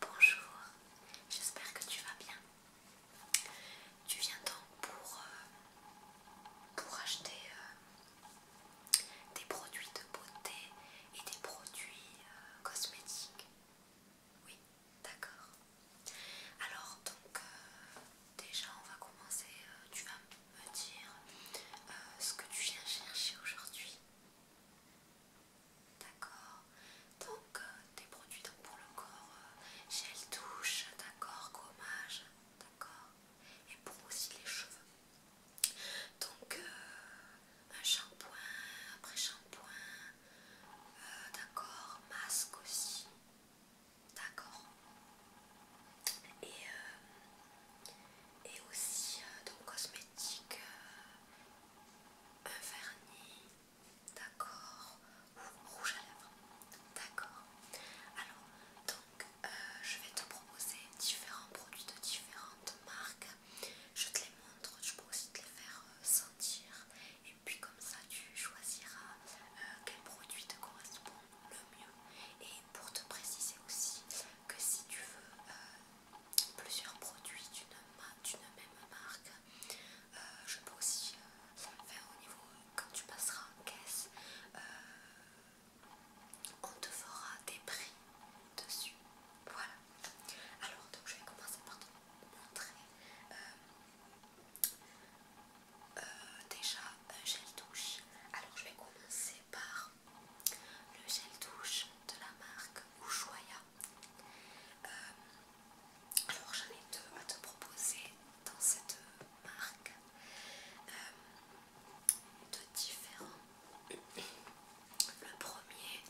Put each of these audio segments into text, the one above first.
Bonjour, j'espère que tu vas bien. Tu viens donc pour, euh, acheter euh, des produits de beauté et des produits euh, cosmétiques. Oui, d'accord. Alors donc déjà on va commencer, tu vas me dire ce que tu viens chercher aujourd'hui. D'accord Donc des euh, produits pour le corps, euh, gel douche, d'accord, gommage, d'accord Et pour aussi les cheveux. Donc euh, un shampoing, après shampoing, d'accord, masque aussi, d'accord et, et aussi donc cosmétiques un vernis, d'accord, ou rouge à lèvres, d'accord. Alors, donc, euh, je vais te proposer différents produits de différentes marques. Je te les montre, je peux aussi te les faire euh, sentir, et puis comme ça, tu choisiras euh, quel produit te correspond le mieux. Et pour te préciser aussi que si tu veux plusieurs produits d'une même marque. Euh, je peux aussi euh, faire au niveau, quand tu passeras en caisse, euh, on te fera des prix dessus. Voilà. Alors, donc je vais commencer par te montrer déjà un gel douche. Alors, je vais commencer par le gel douche de la marque Ushuaia. Euh, alors j'en ai deux à te proposer dans cette marque euh, deux différents. Le premier,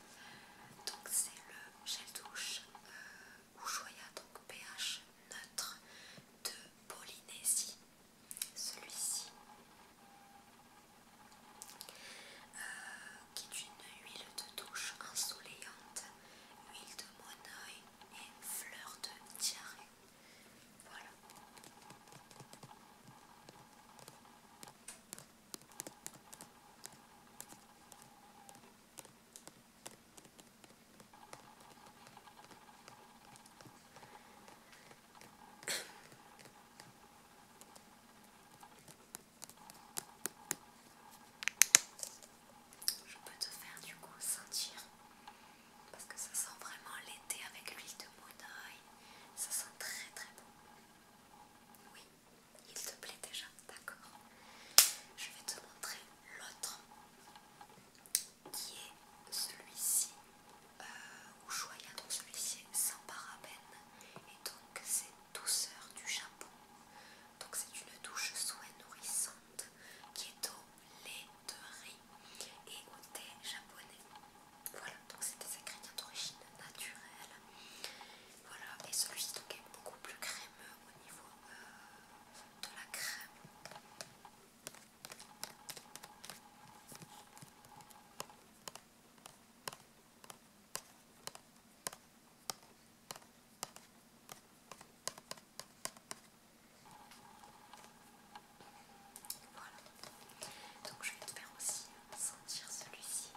donc c'est le gel douche euh, ou donc pH neutre de Polynésie. Celui-ci euh, qui est une huile de douche ensoleillante, huile de monnaie et fleur de diarrhée. Voilà. Je peux te faire du coup sentir parce que ça sent vraiment l'été avec l'huile de monoï. Ça sent très très bon. Oui, il te plaît déjà, d'accord. Je vais te montrer l'autre qui est celui-ci. Euh, ou choya donc celui-ci sans parabène et donc c'est douceur du Japon. Donc c'est une douche soin nourrissante qui est au lait de riz et au thé japonais. Voilà, donc c'est des ingrédients d'origine naturelle. Voilà, et celui-ci donc est beaucoup plus crémeux au niveau euh, de la crème. Donc je vais te faire aussi sentir celui-ci.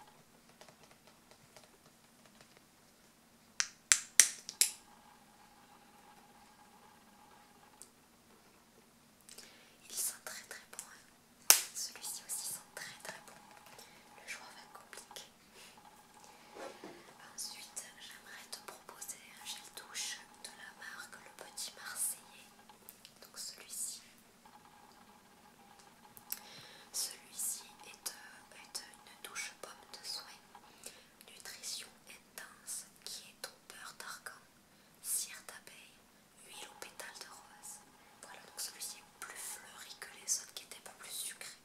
Ils sont très très bons. Hein. Celui-ci aussi sent très très bons. Le choix va compliquer. compliqué. Ensuite, j'aimerais te proposer un gel douche de la marque Le Petit Marseillais. Donc celui-ci. Celui-ci est, euh, une douche pomme de soin. Nutrition intense qui est ton beurre d'argan, cire d'abeille, huile au pétales de rose. Voilà, donc celui-ci est plus fleuri que les autres qui n'étaient pas plus sucrés.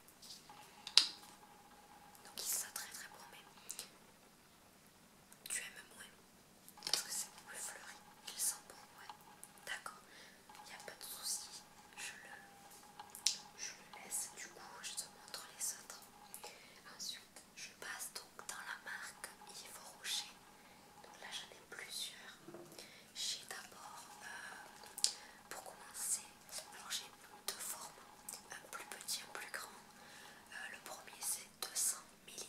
Donc il sent très très bon, mais tu aimes moins parce que c'est plus fleuri. Il sent bon, ouais. D'accord, il n'y a pas de souci. Je le, laisse, du coup, je te montre les autres. Ensuite, je passe donc dans la marque Yves Rocher. Donc là, plusieurs. J'ai d'abord, euh, pour commencer, alors j'ai deux formes, un euh, plus petit, un plus grand. Euh, le premier c'est 200 ml,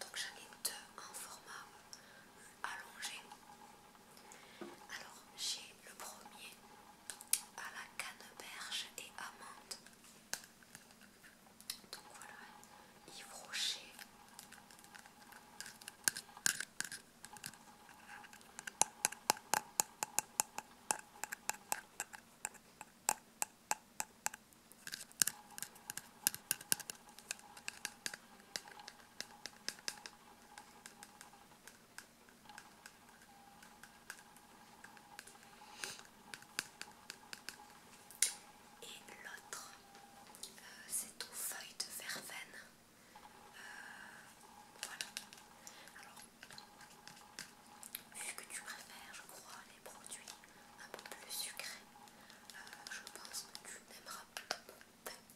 donc j'en ai deux en format allongé. Alors j'ai le premier à la canneberge et amande. Donc voilà, Yves Rocher. Et l'autre, euh, c'est aux feuilles de verveine. Euh, voilà. Alors, vu que tu préfères, je crois, les produits un peu plus sucrés, euh, je pense que tu aimeras,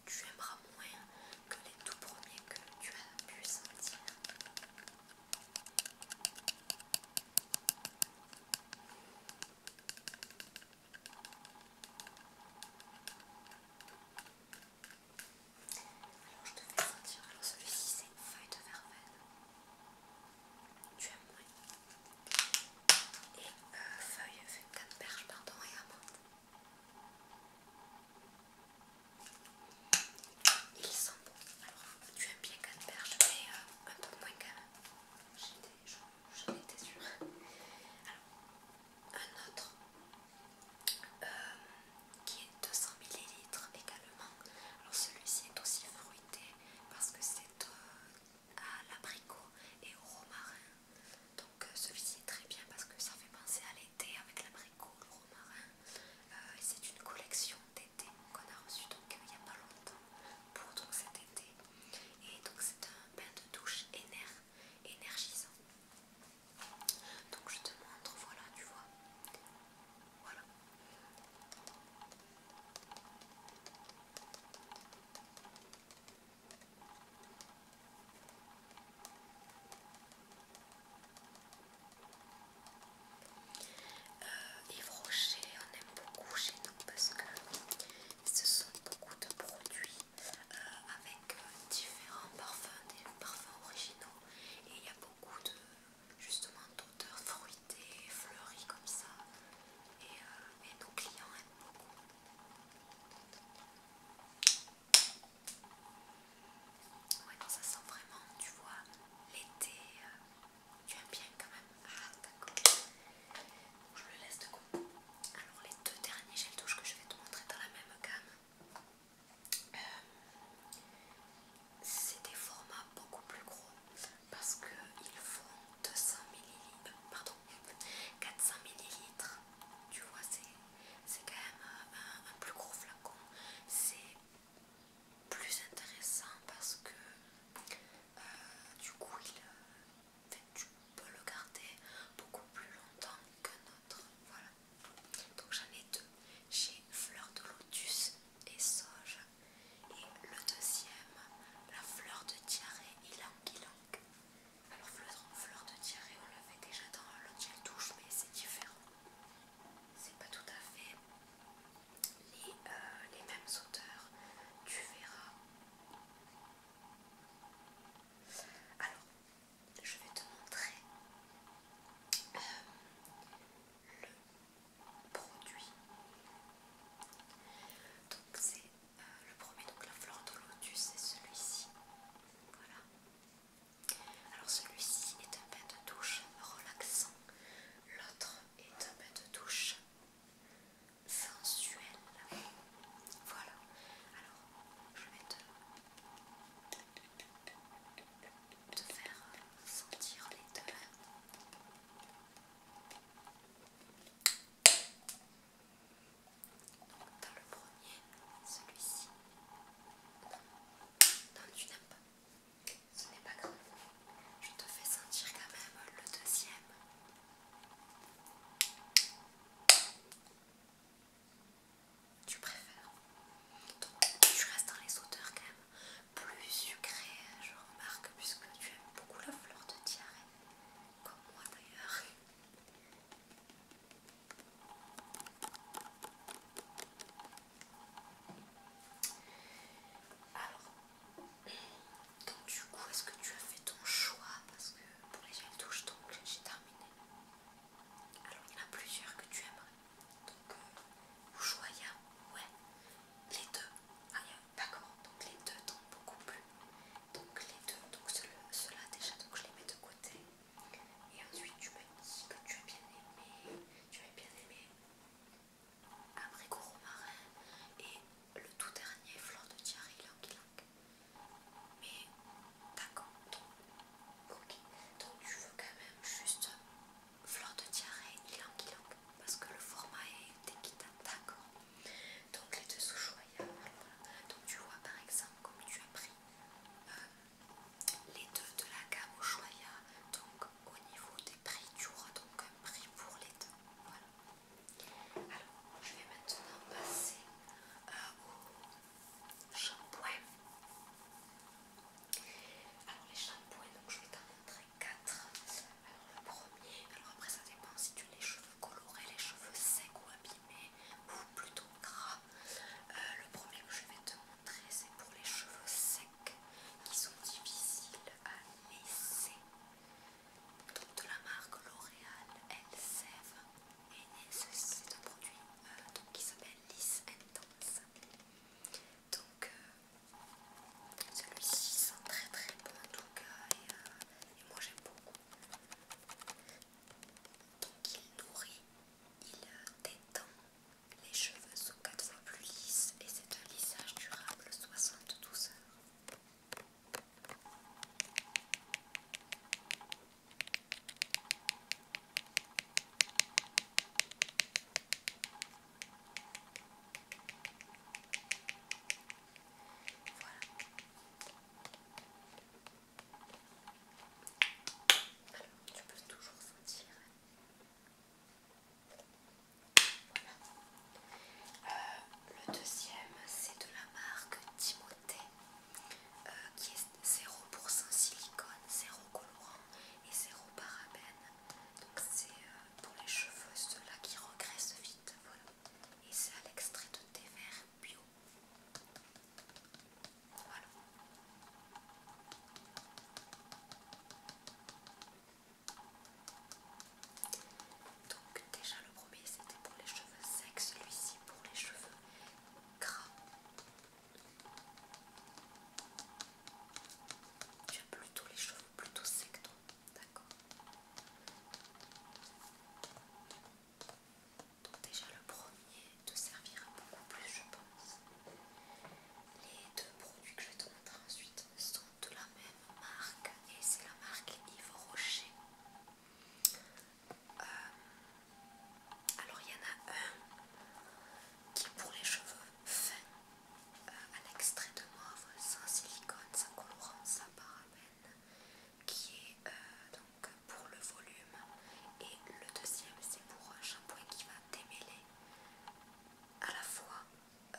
tu aimeras moins que les tout premiers que tu as pu sentir. Alors je te fais sentir. Alors celui-ci c'est une feuille de verveine. Tu as moins. Et euh, feuille, de canneberge, pardon, et amande. Ils sont bons. Alors tu aimes bien canneberge, mais euh, un peu moins quand J'ai des j'en étais sûre. Alors, un autre qui est 200 ml également. Alors, celui-ci est aussi fruité parce que c'est à l'abricot et au romarin. Donc, celui-ci est très bien parce que ça fait penser à l'été avec l'abricot, le romarin. et c'est une collection des qu'on a reçu donc il n'y a pas longtemps pour donc cet été et donc c'est un bain de douche énergisant donc je te montre voilà tu vois voilà Yves euh, Rocher, on aime beaucoup chez nous parce que ce sont beaucoup de produits euh, avec euh, différents parfums, des parfums originaux et il y a beaucoup de justement d'odeurs fruitées, fleuries comme ça et, nos clients aiment beaucoup. ça sent vraiment, tu vois, l'été, tu aimes bien quand même. d'accord. Ah, je le laisse de côté. Alors les deux derniers gel douche que je vais te montrer dans la même gamme. Euh, c'est des formats beaucoup plus gros parce qu'ils font 200 ml, pardon, 400 ml. Tu vois, c'est quand même euh, un plus gros flacon. C'est plus intéressant parce que euh, du coup, il, peut le garder beaucoup plus longtemps que notre. Voilà. Donc j'en ai deux j'ai Fleur de Lotus et Soja. Et le deuxième, la fleur de diarrhée et ylang. Alors fleur, fleur de diarrhée, on l'avait déjà dans l'autre gel douche, mais c'est différent. C'est pas tout à fait euh, les, mêmes auteurs, tu verras. Alors, je vais te montrer euh, le produit. Donc c'est euh, le premier, donc la fleur de lotus, c'est celui-ci. Voilà. Alors celui-ci est un bain de douche relaxant. L'autre est un bain de douche sensuel. Voilà. Alors, je vais te, te faire sentir les deux. Donc, dans le premier, celui-ci. dans tu n'aimes ce n'est pas grave. Je te fais sentir quand même le deuxième. Tu préfères Donc tu restes dans les odeurs quand même plus sucrées, je remarque, puisque tu aimes beaucoup la fleur de tiare, comme moi d'ailleurs. Alors, donc du coup est-ce que tu as fait ton choix Parce que pour les jeunes touches, donc j'ai terminé. Alors il y en a plusieurs que tu aimerais. Donc euh, au choix ouais les deux. Ah il y a pas comment donc les deux tombent beaucoup plus Donc les deux, donc ceux-là déjà donc je les mets de côté. Et ensuite tu vas ici que tu as bien aimé. Tu as bien aimé abricot romarin et le tout dernier fleur de et Languilac. Mais d'accord, donc, tu veux quand même juste fleur de et Languilac parce que le format est équitable, d'accord. Donc les deux sous choya Donc tu vois par exemple comme tu as pris euh, les deux de la gamme Ushuaïa, donc au niveau des prix, tu auras donc un prix pour les deux. Voilà. Alors, je vais maintenant passer euh, au shampoing. Alors, les shampoings, je vais t'en montrer quatre. Alors, le premier, alors après, ça dépend si tu as les cheveux colorés, les cheveux secs ou abîmés, ou plutôt gras. Euh, le premier que je vais te montrer, c'est pour les cheveux secs qui sont difficiles à laisser. Donc de la marque L'Oréal sève et c'est un produit euh, qui s'appelle Lisse Intense. Donc euh, celui-ci sent très très bon en tout cas et euh, moi j'aime beaucoup. Donc il nourrit, il détend, les cheveux sont quatre fois plus lisses et c'est un lissage durable 72 heures. Voilà. Alors, tu peux toujours sentir euh, le deuxième, c'est de la marque Timothée, euh, qui est 0% silicone, 0 colorant et 0 parabène. Donc c'est euh, pour les cheveux, ceux-là qui regressent vite. Et c'est à l'extrait de thé vert bio. Voilà. Donc déjà le premier c'était pour les cheveux secs, celui-ci pour les cheveux gras. Tu as plutôt les cheveux plutôt secs donc d'accord donc déjà le premier te servira beaucoup plus je pense. Les deux produits que je vais te montrer ensuite sont de la même marque et c'est la marque Yves Rocher. Euh, alors il y en a un qui est pour les cheveux fins, euh, un extrait de noir sans silicone, sans colorant, sans parabène, qui est euh, donc pour le volume et le deuxième c'est pour un shampoing qui va démêler à la fois euh,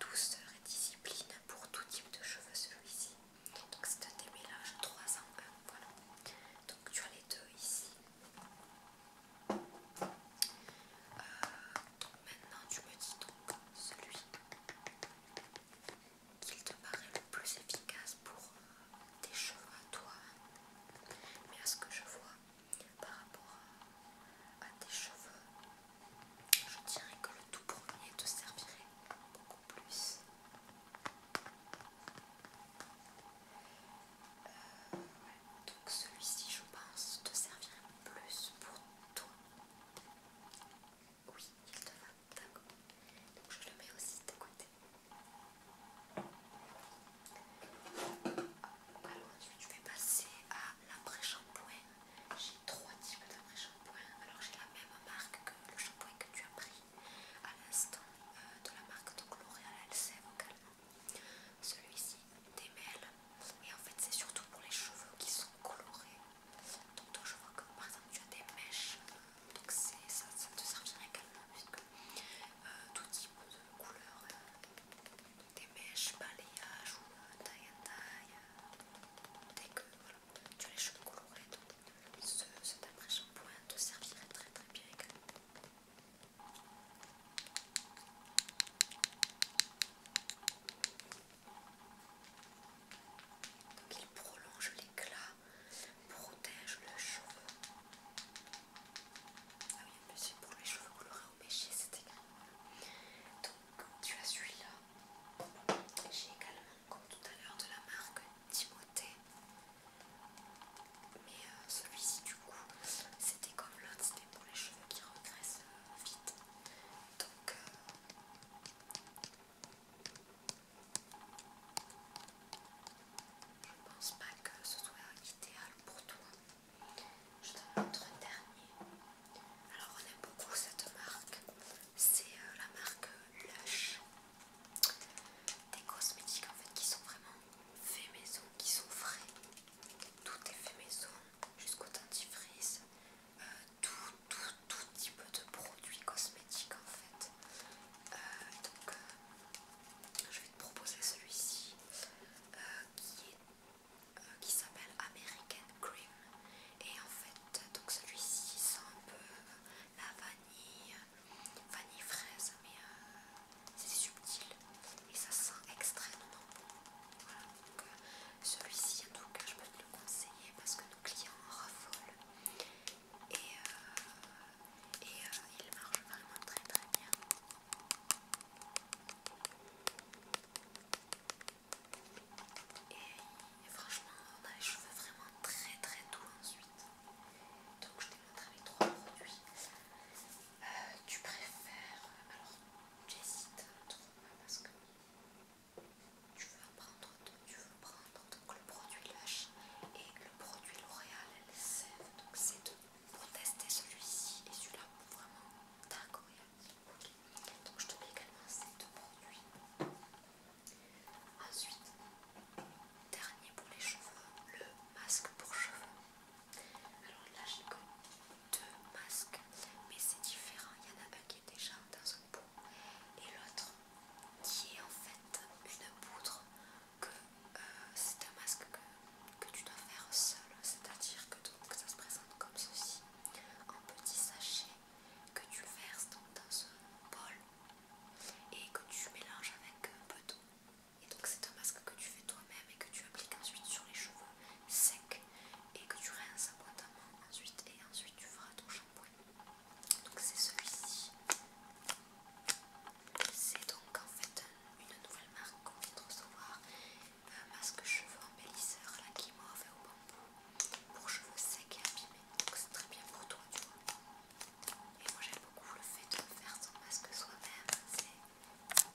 douceur et discipline pour tout type de cheveux celui-ci. Donc c'est un des 3 en 1, voilà. Donc tu as les deux ici. Euh, donc maintenant tu me dis donc celui qu'il te paraît le plus efficace pour euh, tes cheveux à toi. Mais à ce que je vois, par rapport à, tes cheveux, je dirais que le tout premier te servirait beaucoup plus. Euh, Donc celui-ci, je pense, te servirait plus pour toi. Oui, il te va, d'accord. Donc je le mets aussi de côté. Alors ensuite je vais passer à l'après-shampoing. J'ai trois types d'après-shampoing. Alors j'ai la même marque que le shampoing que tu as pris à l'instant euh, de la marque de L'Oréal Elseve également. Celui-ci démêle et en fait c'est surtout pour les cheveux qui sont colorés. Donc toi je vois que par exemple tu as des mèches, donc ça, ça te servira également puisque euh, tout type de couleur. Euh, des mèches, balayage ou euh, taille en taille, euh, dès que voilà, tu as les cheveux colorés, donc ce, cet shampoing te servirait très très bien également. Donc il prolonge l'éclat, protège le cheveu ah oui, c'est pour les cheveux colorés au péché, c'était Donc tu as celui-là. J'ai également, comme tout à l'heure, de la marque Timothée. Mais euh, celui-ci, du coup, c'était comme l'autre, c'était pour les cheveux qui regressent euh, vite. Donc. Euh, je ne pense pas que ce soit idéal pour toi. Je donne un dernier. Alors on aime beaucoup cette marque. C'est euh, la marque Lush. Des cosmétiques en fait qui sont vraiment faits maison, qui sont frais. Tout est fait maison jusqu'au dentifrice. Euh, tout, tout, petit type de produits cosmétiques en fait. Euh, donc je vais te proposer celui-ci. Euh, euh, qui s'appelle American Cream et en fait donc celui-ci sent un peu euh, la vanille vanille fraise mais c'est subtil et ça sent extrêmement bon donc celui-ci en tout cas je peux te le conseiller parce que nos clients en raffolent et, il marche vraiment très très bien et franchement, on a les cheveux vraiment très très doux ensuite. Donc je t'ai montré les trois produits. Euh, tu préfères. Alors j'hésite trop parce que tu veux apprendre, tu veux prendre donc le produit Lush et le produit L'Oréal Sève. Donc c'est deux pour tester celui-ci et celui-là vraiment d'un Donc je te mets également ces deux produits. Ensuite, dernier pour les cheveux, le masque pour cheveux. Alors là j'ai comme deux masques, mais c'est différent. Il y en a un qui est déjà dans un pot et l'autre qui est en fait une poudre que euh, c'est un masque que, tu dois faire seul, c'est-à-dire que ça se présente comme ceci, un petit sachet que tu verses dans, ce bol et que tu mélanges avec euh, un peu d'eau. Et donc c'est un masque que tu fais toi-même et que tu appliques ensuite sur les cheveux secs et que tu rinces abondamment ensuite et ensuite tu feras ton shampoing. Donc c'est celui-ci. C'est donc en fait une nouvelle marque qu'on vient de recevoir, un euh, masque cheveux embellisseur, là qui fait au bambou, pour cheveux secs et abîmés, donc c'est très bien pour toi tu vois. Et moi j'aime beaucoup le fait de faire son masque soi-même, alors,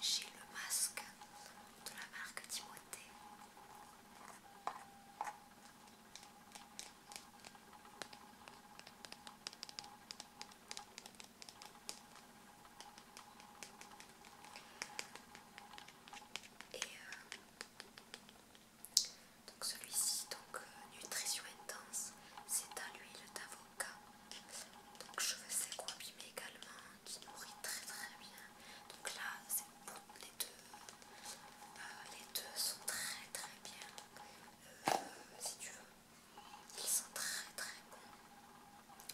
j'ai le masque de la marque Timothée. Et euh, donc celui-ci, donc euh, nutrition intense, c'est à le d'avocat donc je secs ou abîmés également, qui nourrit très très bien. Donc là, bon, les deux, euh, les deux sont très très bien. Euh, si tu veux, ils sont très très bons.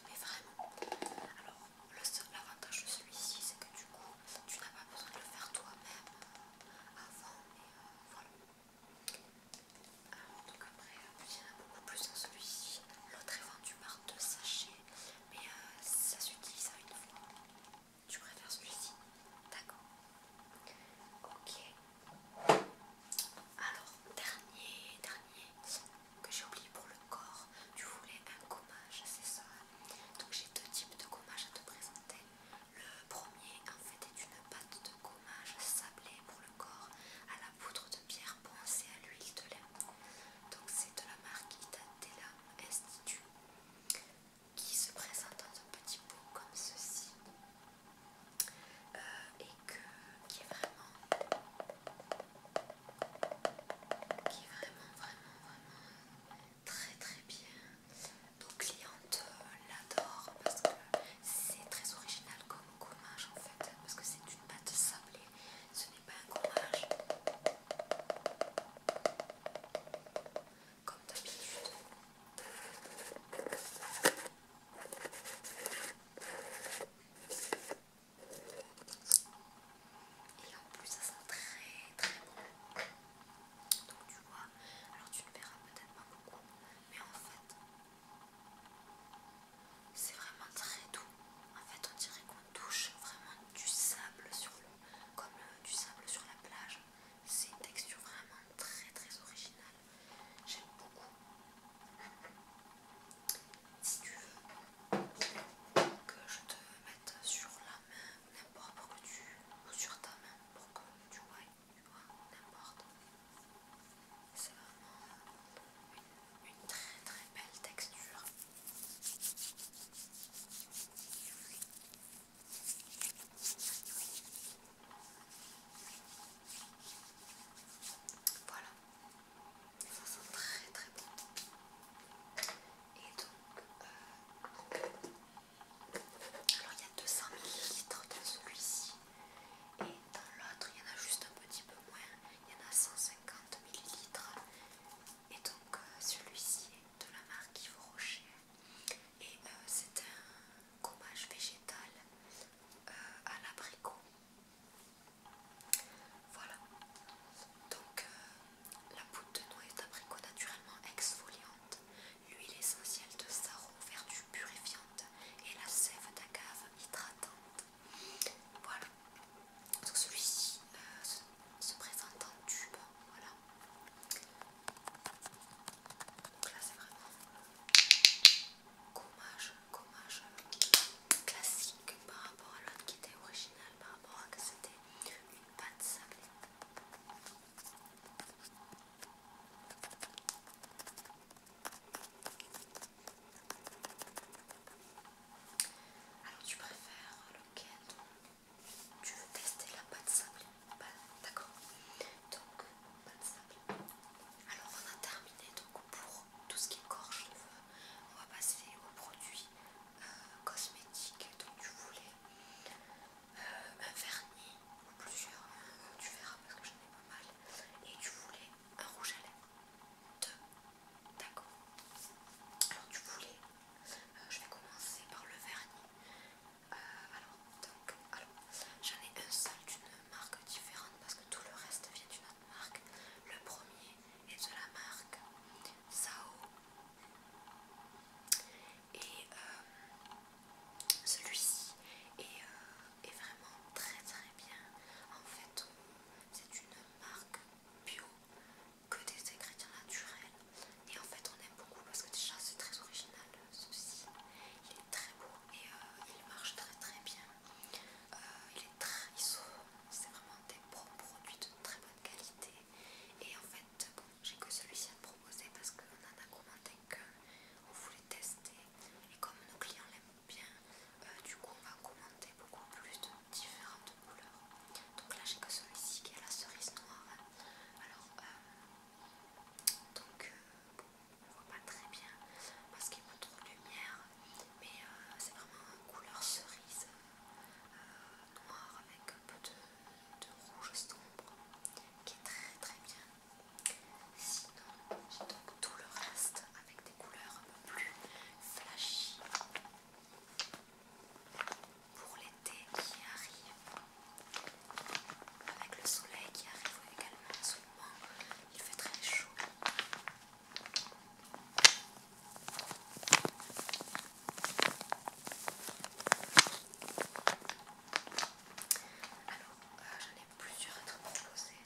Mais vraiment. Alors l'avantage de celui-ci, c'est que du coup, tu n'as pas besoin de le faire toi-même euh, avant. voilà. Alors, donc après, il y en a beaucoup plus dans celui-ci. L'autre est vendu de sachet sachets, mais euh, ça s'utilise à une fois. Tu préfères celui-ci D'accord. Ok. Alors, dernier, dernier que j'ai oublié pour le corps. Tu voulais un gommage, c'est ça Donc j'ai deux types de gommage à te présenter. Le premier en fait est une pâte de gommage sablée pour le corps à la poudre de pierre penser à l'huile de lait Donc c'est de la marque Itatela Institute qui se présente dans un petit pot comme ceci euh, et qui est vraiment qui est vraiment vraiment vraiment très très bien. Nos clientes euh, l'adorent parce que c'est très original comme gommage en fait parce que c'est une pâte sablée ce n'est pas un courage. Comme d'habitude. Et en plus ça sent très très bon. Donc tu vois, alors tu ne verras peut-être pas beaucoup, mais en fait c'est vraiment très doux. En fait, on dirait qu'on touche vraiment du sable sur le, comme euh, du sable sur la plage. C'est une texture vraiment très très originale. J'aime beaucoup. Si tu veux que je te mette sur la main, n'importe pour que tu ou sur ta main pour que tu vois, tu vois n'importe. C'est vraiment une, très très belle texture. Voilà, ça sent très très bon. Et donc, euh, alors il y a 200 ml dans celui-ci et dans l'autre il y en a juste un petit peu moins, il y en a 150 ml et donc euh, celui-ci est de la marque Yves Rocher et euh, c'est un gommage végétal euh, à l'abricot voilà donc la poudre de noix d'abricot naturellement exfoliante l'huile essentielle de sarro vertu purifiante et la sève d'agave hydratante voilà. Donc celui-ci se, euh, présente en tube. Voilà. Donc là c'est vraiment gommage, gommage euh, classique par rapport à l'autre qui était original, par rapport à que c'était une pâte sablée. Alors tu préfères lequel Tu veux tester la pâte sable D'accord. Donc pâte sable. Alors on a terminé donc pour tout ce qui est corps cheveux. On va passer aux produits euh, cosmétiques. Donc tu voulais euh, un vernis ou plusieurs. Euh, tu verras parce que j'en ai pas mal. Et tu voulais un rouge à lèvres, deux, d'accord. Alors tu voulais, euh, je vais commencer par le vernis. Euh, alors, donc, alors, j'en ai un seul d'une marque différente parce que tout le reste vient d'une autre marque. Le premier est de la marque Sao. Et euh, celui-ci et est vraiment très très bien. En fait, c'est une marque bio que des ingrédients naturels. Et en fait, on aime beaucoup parce que déjà c'est très original ceci. Il est très beau et euh, il marche très très bien. Euh, il est très, c'est vraiment des produits de très bonne qualité. Et en fait, j'ai que celui-ci à te proposer parce qu'on en a commenté qu'un. On voulait tester et comme nos clients l'aiment euh, du coup, on va commenter beaucoup plus de différentes couleurs. Donc là, j'ai que celui-ci qui est la cerise noire. Alors, euh, donc, euh, bon, on voit pas très bien parce qu'il y a pas trop de lumière, mais euh, c'est vraiment une couleur cerise euh, noire avec un peu de, de rouge sombre qui est très très bien. Sinon, j'ai donc tout le reste avec des couleurs un peu plus flashy pour l'été qui arrive, avec le soleil qui arrive également en ce moment, il fait très chaud. Alors, euh, j'en ai plusieurs à te proposer.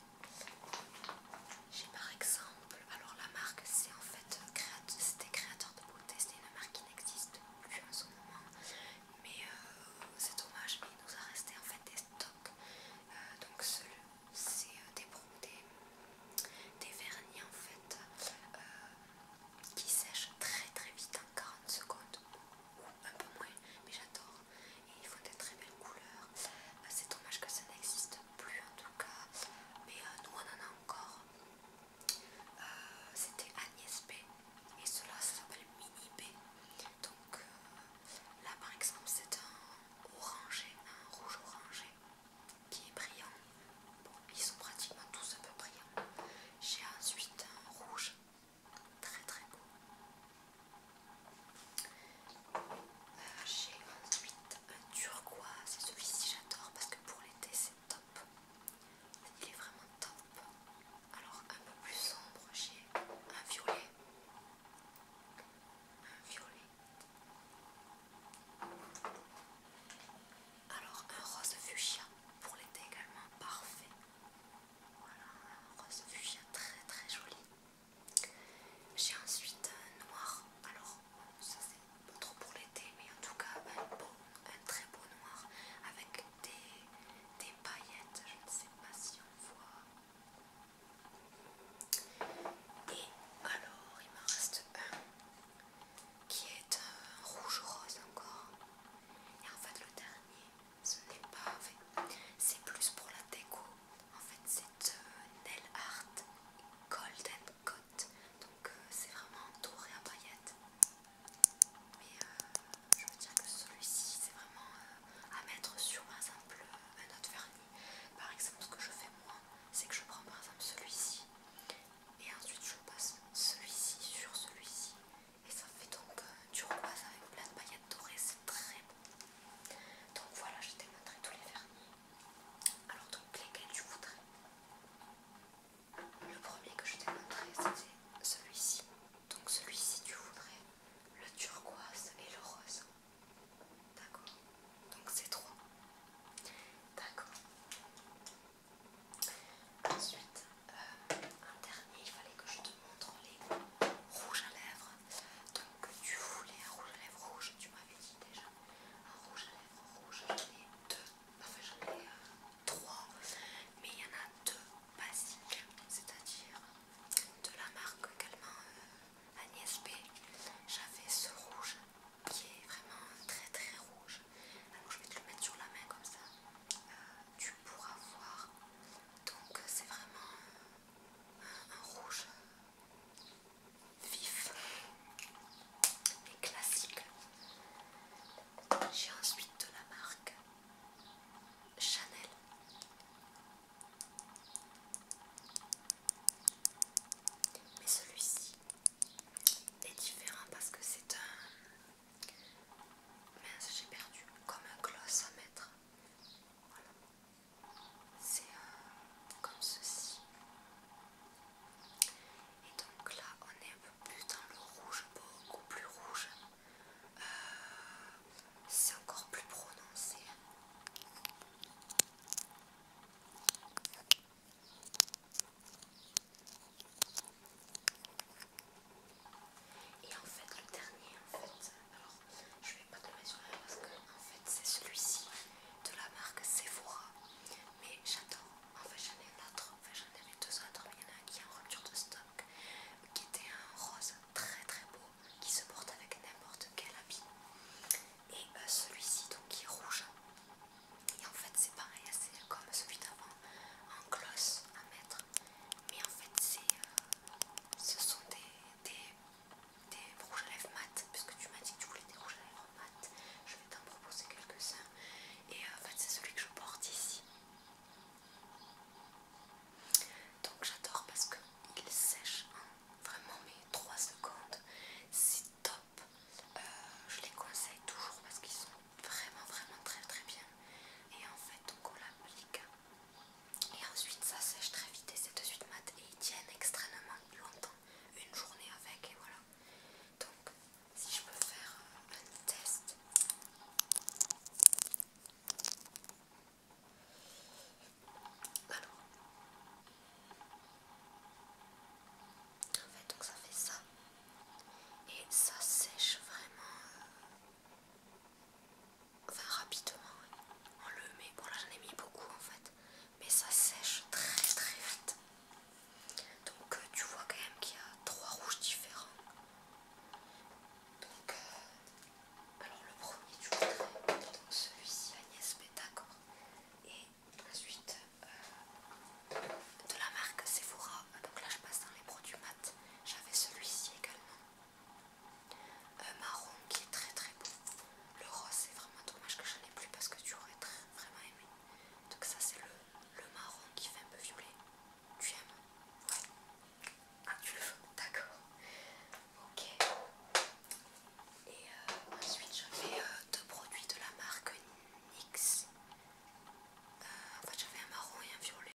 J'ai par exemple, alors la marque c'est en fait euh, c'était créateur de beauté, c'est une marque qui n'existe plus en ce moment, mais euh, c'est dommage, mais il nous a resté en fait des stocks, euh, donc c'est des, vernis en fait qui sèchent très très vite en 40 secondes ou un peu moins, mais j'adore et ils font des très belles couleurs. Euh, c'est dommage que ça n'existe plus en tout cas, mais euh, nous on en a encore. Euh, c'était Agnès B et cela ça s'appelle Mini B. Donc là par exemple c'est un orangé, un rouge orangé qui est brillant. Bon, ils sont pratiquement tous un peu brillants. J'ai ensuite un rouge Très très beau. Euh, j'ai ensuite euh, un turquoise. Celui-ci j'adore parce que pour l'été c'est top. Il est vraiment top. Alors un peu plus sombre, j'ai un violet. Un violet. Alors un rose fuchsia pour l'été également parfait. Voilà, un rose fuchsia très très joli. J'ai ensuite un noir, alors ça c'est trop pour l'été, mais en tout cas un, très beau noir avec des, des paillettes, je ne sais pas si on voit. Et alors il me reste un qui est un euh, rouge rose encore. Et en fait le dernier, ce n'est pas, fait, c'est plus pour la déco. En fait, c'est euh, Nail Art Golden Coat, donc euh, c'est vraiment doré à paillettes. Mais euh, je veux dire que celui-ci, c'est vraiment à mettre sur par exemple un autre vernis. Par exemple, ce que je fais moi, c'est que je prends par exemple celui-ci et ensuite je passe celui-ci sur celui-ci. Et ça fait donc du repas avec plein de paillettes dorées, c'est très donc voilà, je t'ai montré tous les vernis. Alors donc lesquels tu voudrais Le premier que je t'ai montré c'était celui-ci. Donc celui-ci tu voudrais le turquoise et le rose. D'accord Donc c'est trois. D'accord. Ensuite, euh, un dernier, il fallait que je te te montre les rouges à lèvres. Donc tu voulais un rouge à lèvres rouge, tu m'avais dit déjà un rouge à lèvres rouge. J'en ai deux, enfin j'en ai euh, trois, mais il y en a deux basiques, c'est-à-dire de la marque également euh, Agnès B. J'avais ce rouge qui est vraiment très très rouge. Alors je vais te le mettre sur la main comme ça. Euh, tu pourras voir. Donc c'est vraiment un, rouge vif et classique. J'ai ensuite de la marque Chanel. Mais celui-ci est différent parce que c'est un... Mince, j'ai perdu. Comme un gloss à mettre. C'est euh, comme ceci. Et donc là, on est un peu plus dans le rouge, beaucoup plus rouge. Euh, c'est encore plus prononcé. Et en fait, le dernier, en fait, alors je vais pas te le sur parce que en fait, c'est celui-ci de la marque Sephora. Mais j'adore, en fait, j'en ai en enfin, j'en ai deux autres, mais il y en a un qui est en rupture de stock, qui était un rose très très beau, qui se porte avec n'importe quel habit. Et euh, celui-ci, donc, qui est rouge. Et en fait, c'est pareil, c'est comme celui d'avant, en gloss à mettre mais en fait euh, ce sont des, rouges à lèvres mat puisque tu m'as dit que tu voulais des rouges à lèvres mat je vais t'en proposer quelques-uns et euh, en fait c'est celui que je porte ici donc j'adore parce qu'il sèchent sèche en hein, vraiment mais 3 secondes c'est top euh, je les conseille toujours parce qu'ils sont vraiment vraiment très très bien et en fait donc on l'applique et ensuite ça sèche très vite et c'est de suite mat et ils tiennent extrêmement longtemps, une journée avec et voilà. Donc si je peux faire euh, un test. Alors. En fait donc ça fait ça. Et ça sèche vraiment. Euh, enfin rapidement on le met, bon là j'en ai mis beaucoup en fait mais ça sèche très très vite donc euh, tu vois quand même qu'il y a trois rouges différents donc euh, alors le premier tu voudrais donc celui-ci Agnès Pétacor et ensuite euh, de la marque Sephora ah, donc là je passe dans les produits mat j'avais celui-ci également un marron qui est très très beau. Le rose c'est vraiment dommage que je n'en ai plus parce que tu aurais très, vraiment aimé. Donc ça c'est le, marron qui fait un peu violet. Tu aimes Ouais. Ah tu le veux D'accord. Ok. Et euh, ensuite j'avais euh, deux produits de la marque NYX. Euh, en fait j'avais un marron et un violet.